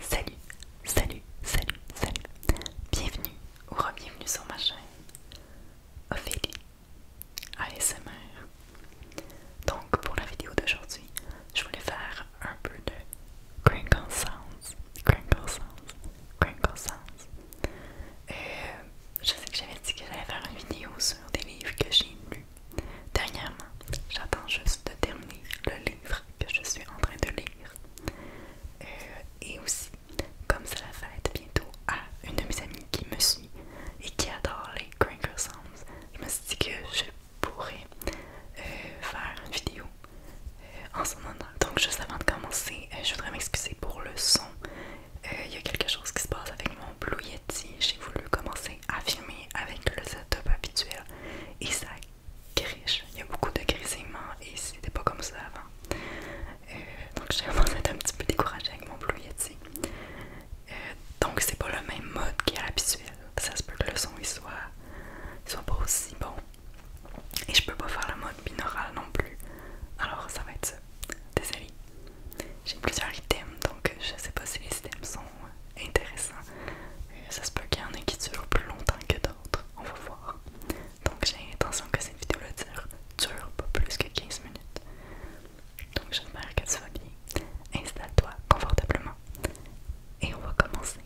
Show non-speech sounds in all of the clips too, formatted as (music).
Salut, salut, salut, salut. Bienvenue ou re-bienvenue sur ma chaîne Ophélie ASMR. Donc pour la vidéo d'aujourd'hui, je voulais faire un peu de crinkle sounds, crinkle sounds, crinkle sounds. Euh, je sais que j'avais dit que j'allais faire une vidéo sur des livres que j'ai lu dernièrement. J'attends juste de terminer le livre que je suis en train de lire. Euh, et aussi, comme c'est va être bientôt, à une de mes amies qui me suit et qui adore les Cranker Sounds, je me suis dit que je pourrais euh, faire une vidéo euh, en son honneur. Donc, juste avant de commencer, je voudrais m'excuser pour le son. Il y a quelque chose qui se passe avec mon Blue Yeti. J'ai voulu commencer à filmer avec le setup habituel et ça griche. Il y a beaucoup de grésillements et c'était pas comme ça avant. Euh, donc j'ai commencé à un petit peu découragée avec mon Blue euh, donc c'est pas le même mode qu'à l'habituel. Ça se peut que le son ne soit, pas aussi bon. Et je peux pas faire la mode binaural non plus. Alors ça va être ça. Désolée. J'ai plusieurs items donc je sais pas si les items sont euh, intéressant. Ça se peut qu'il y en ait qui durent plus longtemps que d'autres, on va voir. Donc j'ai l'intention que cette vidéo dure, pas plus que 15 minutes. Donc j'espère que tu vas bien. Installe-toi confortablement. Et on va commencer.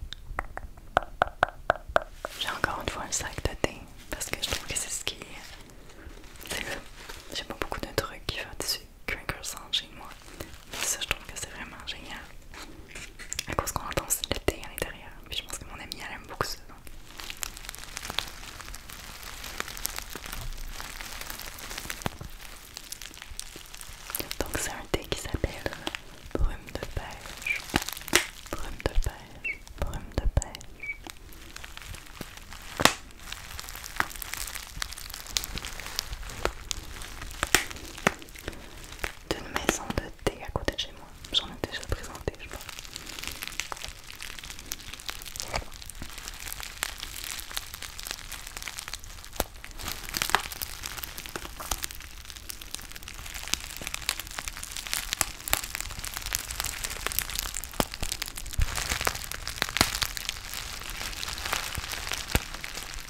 J'ai encore une fois un sac de thé parce que je trouve que c'est ce qui est. C'est le. J'ai pas beaucoup de trucs qui font dessus du crinkle chez moi. Mais ça, je trouve que c'est vraiment génial. À cause qu'on entend le thé à l'intérieur. Puis je pense que mon ami elle aime beaucoup ça. Donc. Donc c'est un thé qui s'appelle euh, brume de pêche, brume de pêche, brume de pêche d'une maison de thé à côté de chez moi. J'en ai déjà présenté, je pense.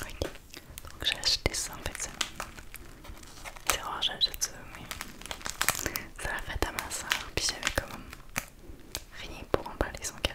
Ok, donc j'ai acheté ça en fait c'est semaine. C'est rare, j'achète ça, mais ça la fait à ma soeur, puis j'avais quand même rien pour emballer son cadeau.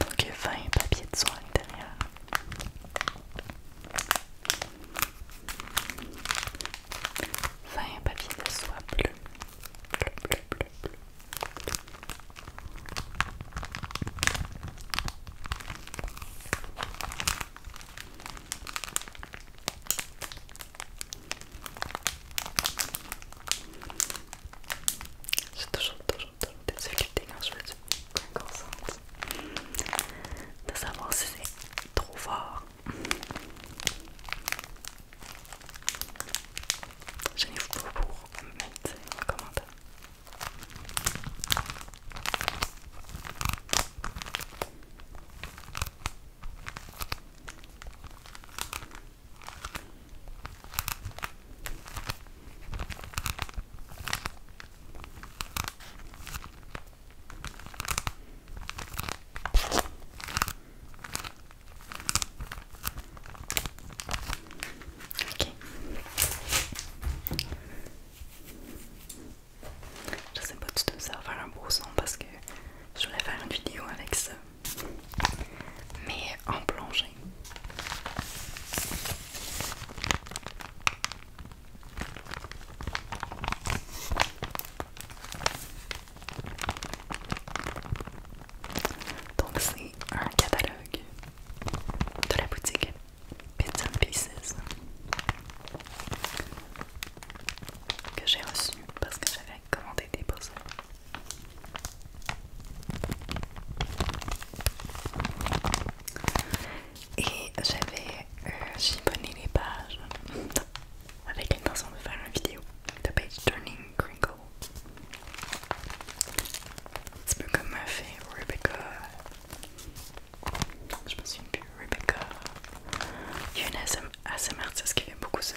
Donc 20 papiers de soie à l'intérieur. 20 papiers de soie Bleu, bleu, bleu, bleu. J'ai toujours, toujours, toujours des difficultés quand je fait. de savoir si c'est trop fort. Je n'ai pas pour de Ok. sais pas du tout serves ça faire un beau son parce que je voulais faire une vidéo avec ça, mais en plongée. Donc c'est un catalogue de la boutique Bits and Pieces que j'ai reçu parce que j'avais commandé des beaux et j'avais chiponné euh, les pages (laughs) avec l'intention de faire une vidéo de page turning crinkle un peu comme m'a fait Rebecca je me souviens Rebecca. Il y a une ASM, qui fait beaucoup ça.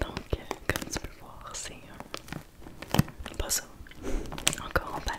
Donc, comme tu peux voir, c'est un euh, pas Encore en bal.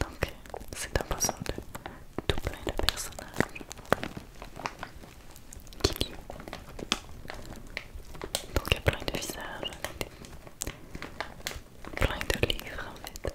Donc c'est poisson de tout plein de personnages qui Donc il y a plein de visages, plein de livres en fait.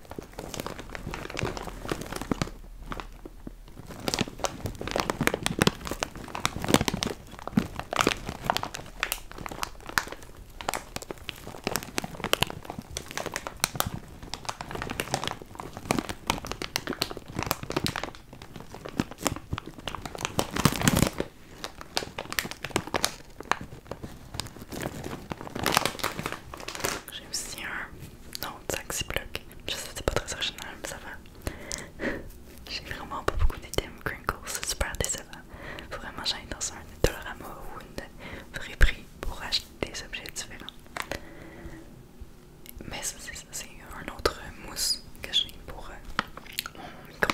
J'ai aussi un. Non, 45 6 blocs. Je sais, pas très original, mais ça va. (laughs) J'ai vraiment pas beaucoup d'items Crinkles, c'est super décevant. Faut vraiment j'aille dans un Dolorama ou une vraie prix pour acheter des objets différents. Mais ça, c'est un autre mousse que j'ai pour euh, mon micro.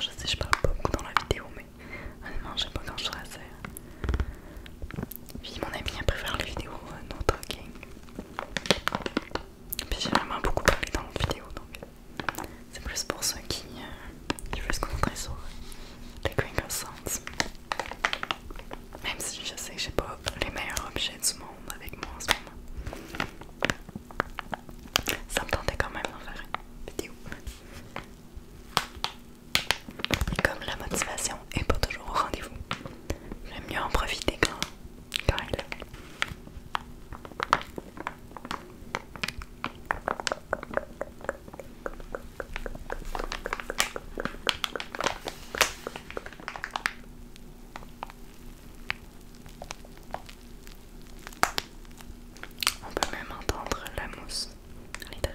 je sais, je parle pas beaucoup dans la vidéo, mais honnêtement, ah j'aime pas quand je à assez. Puis mon ami, a préfère les vidéos euh, no talking. Puis j'ai vraiment beaucoup parlé dans la vidéo, donc c'est plus pour ceux qui, euh, veulent se concentrer sur euh, les crinkle sounds. Même si je sais que j'ai pas les meilleurs objets du monde avec moi en ce moment. Ça me tentait quand même d'en faire une vidéo. Et comme la motivation est pas toujours au rendez-vous, j'aime mieux en profiter quand, quand est on peut même entendre la mousse à l'intérieur.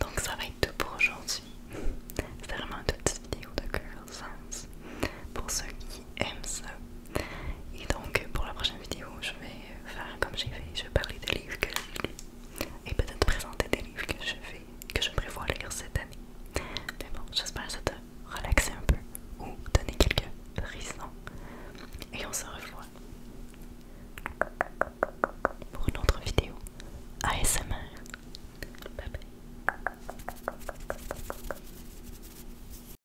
Donc ça va être tout pour aujourd'hui. C'est (laughs) vraiment une toute petite vidéo de Girl Sans Pour ceux qui aime ça. Et donc pour la prochaine vidéo, je vais faire comme j'ai fait, je vais parler des livres que j'ai lus et peut-être présenter des livres que je fais, que je prévois lire cette année. Mais bon, j'espère que ça te relaxe un peu ou donner quelques frissons. Et on se revoit pour une autre vidéo ASMR. Bye bye.